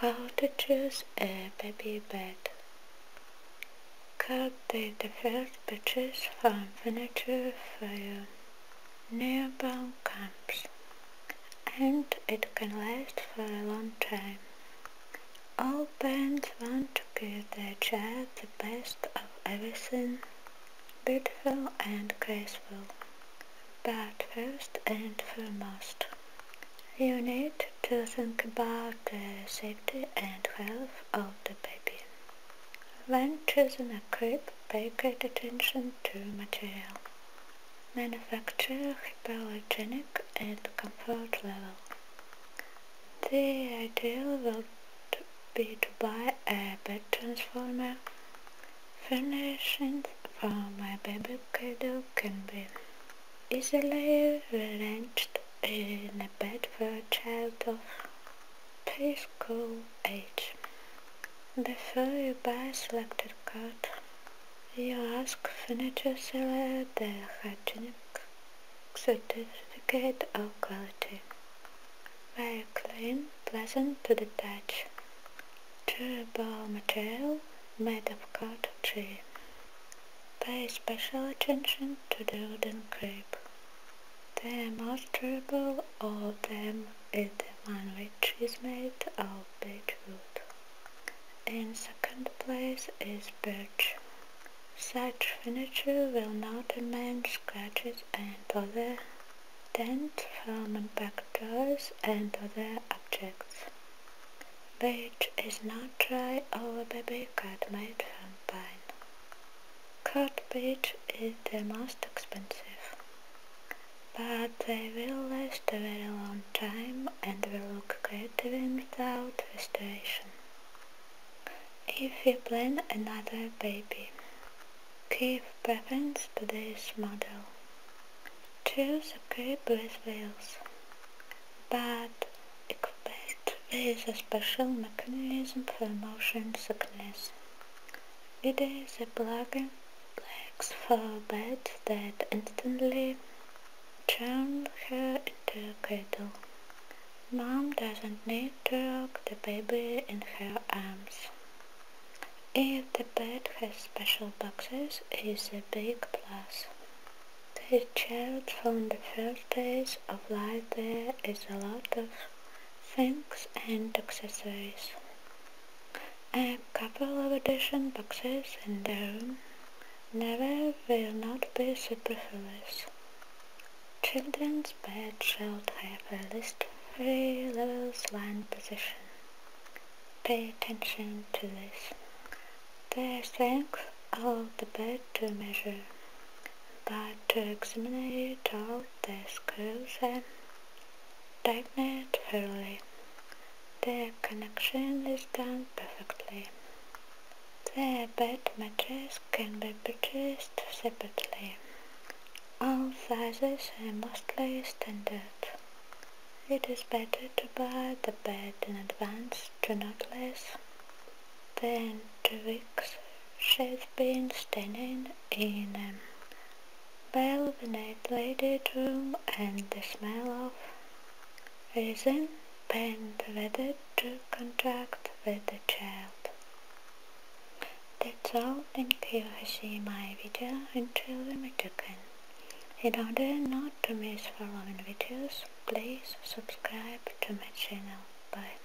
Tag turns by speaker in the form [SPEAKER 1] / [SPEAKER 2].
[SPEAKER 1] How to choose a baby bed Cut the first purchase from furniture fire Nearby camps, and it can last for a long time. All parents want to give their child the best of everything, beautiful and graceful. But first and foremost, you need to think about the safety and health of the baby. When choosing a crib, pay great attention to material, manufacture, hypoallergenic and comfort level. The ideal would be to buy a bed transformer. Furnishings for my baby cradle can be easily arranged in a bed for a child of preschool age. Before you buy a selected card, you ask furniture seller their hygienic certificate of quality. Very clean, pleasant to the touch. Durable material made of cut tree. Pay special attention to the wooden crib. The most durable of them is the one which is made of beech wood. In second place is birch. Such furniture will not amend scratches and other dents from back doors and other objects. Beach is not dry our baby cut made from pine. Cut beach is the most expensive. But they will last a very long time and will look great even without restoration. If you plan another baby, give preference to this model two separate breath wheels, but equipped with a special mechanism for motion sickness. It is a black, in flex for bed that instantly turned her into a cradle. Mom doesn't need to rock the baby in her arms. If the bed has special boxes, it's a big plus. The child from the first days of life there is a lot of things and accessories. A couple of additional boxes in the room never will not be superfluous. Children's bed should have at least three levels line position. Pay attention to this. The strength of the bed to measure, but to examine all the screws and tighten it thoroughly. The connection is done perfectly. The bed mattress can be purchased separately. All sizes are mostly standard. It is better to buy the bed in advance to not less than two weeks she has been standing in a well-ventilated room and the smell of resin paint weather to contract with the child. That's all. Thank you for seeing my video until we meet again. In order not to miss following videos, please subscribe to my channel. Bye.